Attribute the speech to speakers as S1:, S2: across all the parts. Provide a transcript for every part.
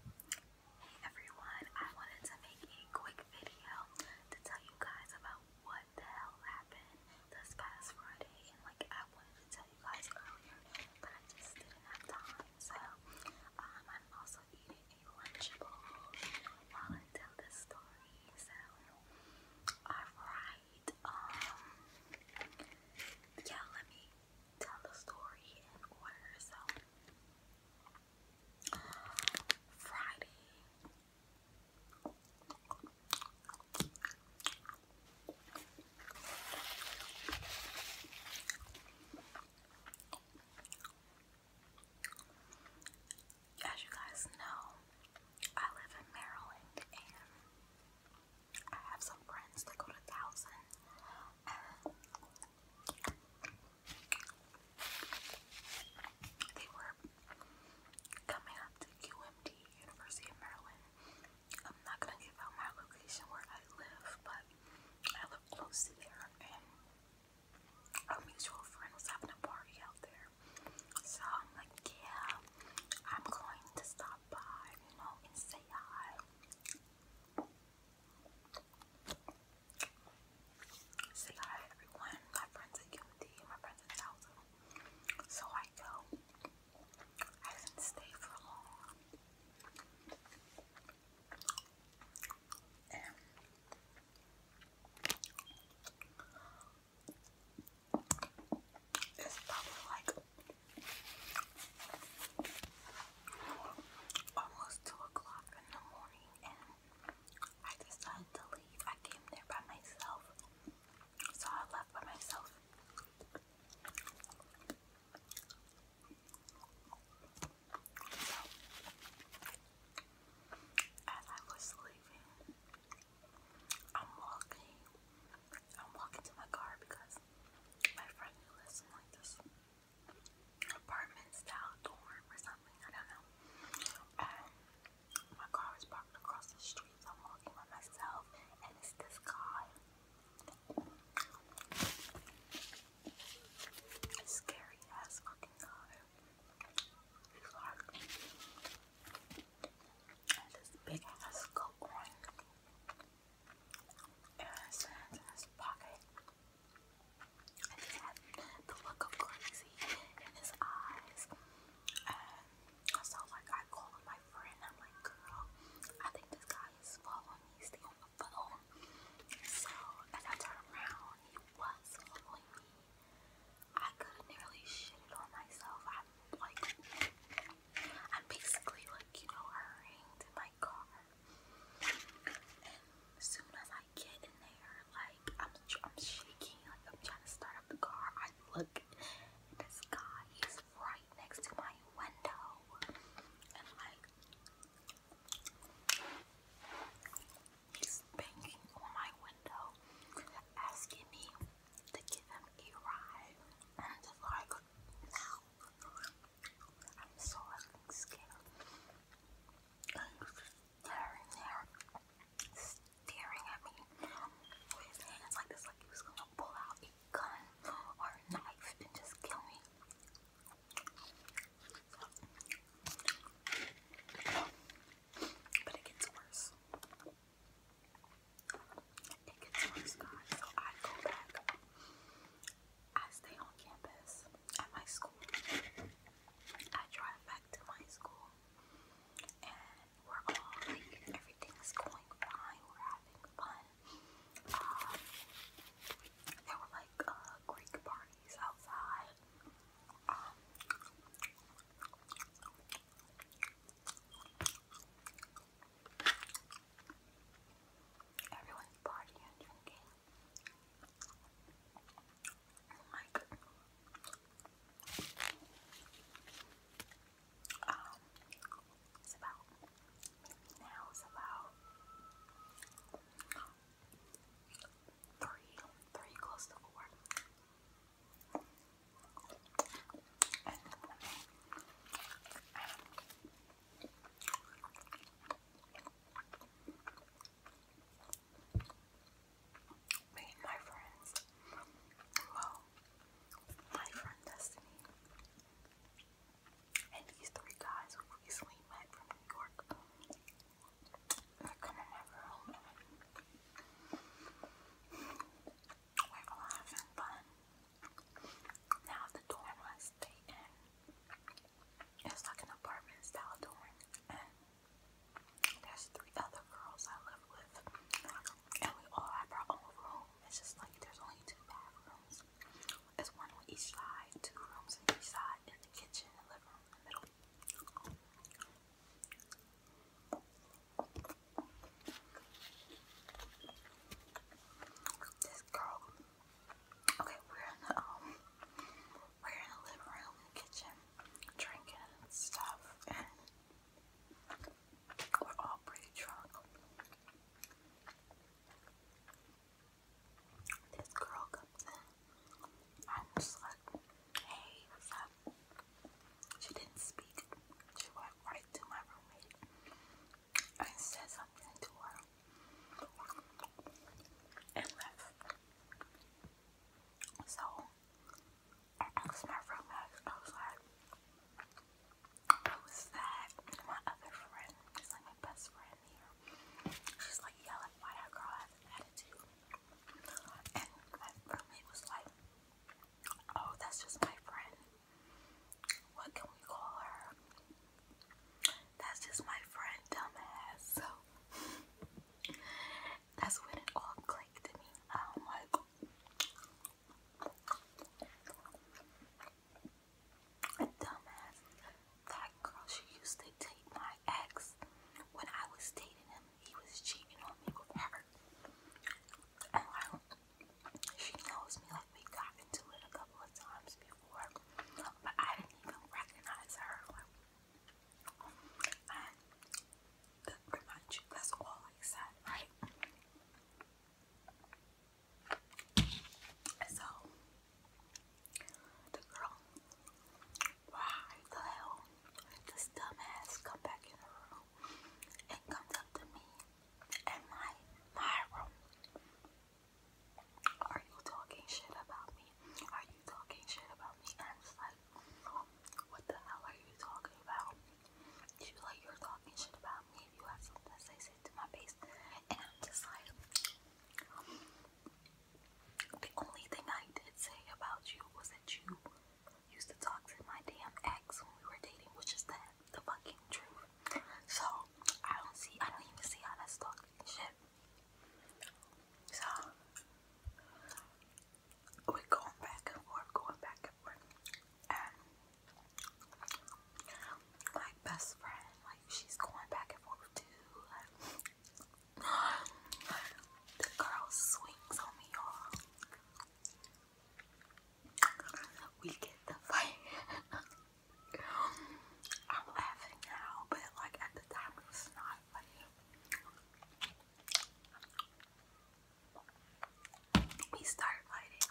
S1: Hey everyone, I wanted to make a quick video to tell you guys about what the hell happened this past Friday and like I wanted to tell you guys earlier but I just didn't have time so um, I'm also eating a Lunchable while I tell this story so alright um, yeah let me tell the story in order. So, Friday. As you guys know, I live in Maryland I have some friends that go to thousand uh, they were coming up to QMD, University of Maryland. I'm not gonna give out my location where I live, but I live close to there and a mutual friend was having a party out there. So I'm like, yeah, I'm going to stop by, you know, and say hi. Say hi everyone. My friends at UMD, my friends at Delta. So I go. I didn't stay for long. it's probably like almost 2 o'clock in the morning and I decided to leave. I came there by myself, so I left by myself. as I was leaving, I'm walking. I'm walking to my car because my friend who lives in like this apartment style dorm or something, I don't know. Um, my car was parked across the street, I'm walking by myself, and it's this guy. Scary ass fucking guy. And this big ass coat And his hands in his pocket. And he had the look of crazy in his eyes. so like I called my friend, I'm like, girl, I think this guy is following me, stay on the phone. So as I turned around, he was following me. I could have nearly shitted on myself. I'm like I'm basically like, you know, hurrying to my car. And soon as I get in there, like I'm, I'm shaking, like I'm trying to start up the car. I look and this guy is right next to my window. And like he's banging on my window asking me to give him a ride and if I could I'm so scared. And there, staring at me with his hands like this, like he was gonna pull out a gun or knife and just kill me. But it gets worse. It gets worse, guys. So I go back. I stay on campus at my school. I drive back to my school, and we're all everything's going fine. We're having fun. Um, there were like uh, Greek parties outside. Um, Everyone's partying and drinking. like, oh um, it's about now it's about three, three close to four. Me and my friends, well, my friend Destiny, and these three guys who recently met from New York, Come on, We're having fun. Now the dorm I stay in like an apartment style dorm, there's three other girls I live with, and we all have our own room. It's just like there's only two bathrooms. There's one on each side, two rooms on each side, and the kitchen and living room the middle. This girl. Okay, we're in the um, we're in the living room, kitchen, drinking and stuff, and we're all pretty drunk. This girl comes in. I'm just like, hey, what's up? She didn't speak. She went right to my roommate and said something to her and left. So I my roommate, I was like, who was that? my other friend, just like my best friend. She's like yelling, why that girl has an attitude? And my roommate was like, oh, that's just my friend. What can we call her? That's just my friend, dumbass. So that's when it all clicked to me. I'm like, dumbass. That girl she used to date my ex. When I was dating him, he was cheating on me with her. And she knows me like we got into it a couple of times before, but I didn't even recognize her. and that remind you, that's all I said, right? So the girl, why the hell did dumbass come back in the room and comes up to me and my, my room? Are you talking shit about me? Are you talking shit about me? And I'm just like, what the hell are you talking about? You like you're talking shit about me. you have something to say, to my face. And I'm just like, the only thing I did say about you was that you used to talk to my damn ex when we were dating, which is the, fucking truth. So, I don't see, I don't even see how that's talking shit. So, we're going back and forth, going back and forth. And like best friend. Like she's going back and forth too. Like, the girl swings on me, y'all. We get the fight. I'm laughing now, but like at the time it was not funny. We start fighting,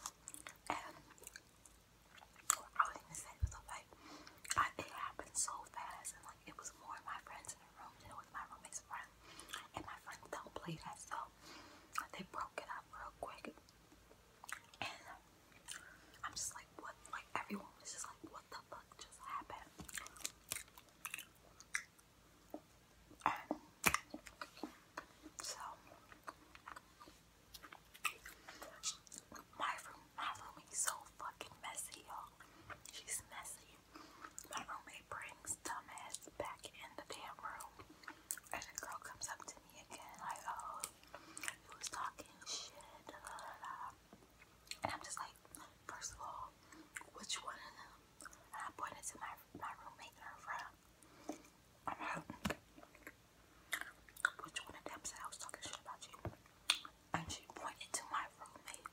S1: and I was even saying it was like it happened so fast, and like it was more of my friends in the room than it was my roommate's friend. And my friends don't play that, so they broke it up real quick. And I'm just like, what? Like everyone was just like, what the fuck just happened? so my room, my room so fucking messy, y'all. She's messy. My roommate brings dumbass back in the damn room. And the girl comes up to me again, like, oh, you was talking shit, And I'm just like, first of all, which one And I pointed to my, my roommate and her friend. I'm like, which one of them said I was talking shit about you. And she pointed to my roommate.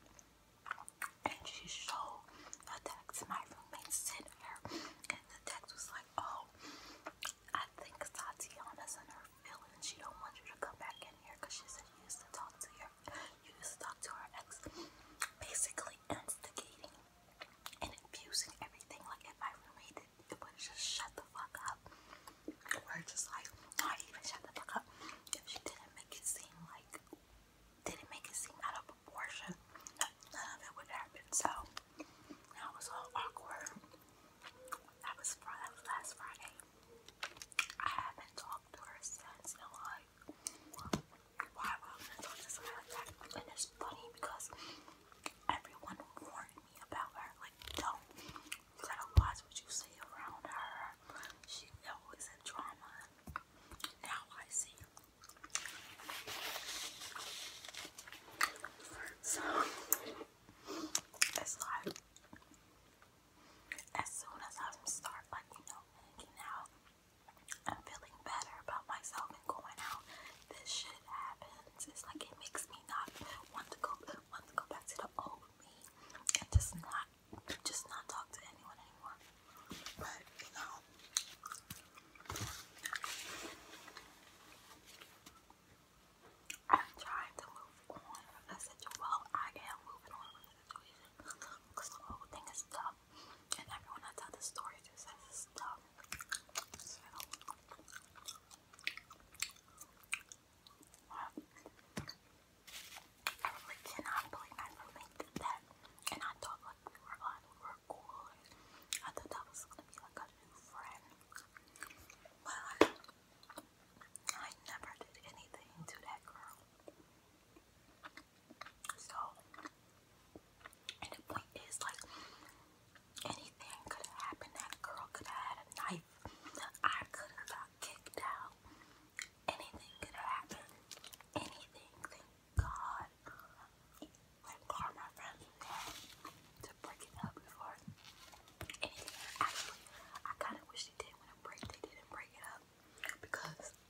S1: And she showed a text my roommate sent her. And the text was like, oh, I think Tatiana's in her feelings. She don't want you to come back in here because she said you used to talk to your, you used to talk to her ex. Basically instigating and infusing everything. Like if my roommate did, it would just shut the fuck up. We're just like not even shut the fuck up. If she didn't make it seem like didn't make it seem out of proportion, none of it would happen. So that was all awkward. That was Friday, that was last Friday. I haven't talked to her since and like why would I talk to someone like that? And it's funny because everyone warned me about her. Like, don't you to watch what you say around her. She always had drama. Now I see. So it's like as soon as I start like you know making out I'm feeling better about myself and going out. This shit happens. It's like it makes me not want to go want to go back to the old me and just not just not talk to anyone anymore. But you know I'm trying to move on from the situation. Well, I am moving on from the situation because the whole thing up. And everyone I tell this story to says it's I really cannot believe my roommate did that. And I thought like we were on, we were cool. I thought that was gonna be like a new friend. But I never did anything to that girl. So and the point is, like, anything could have happened. That girl could have had a knife. I could have got kicked out. Anything could have happened. Anything. Thank God. Thank God my to break it up before Actually, I kind of wish they did when it break. They didn't break it up because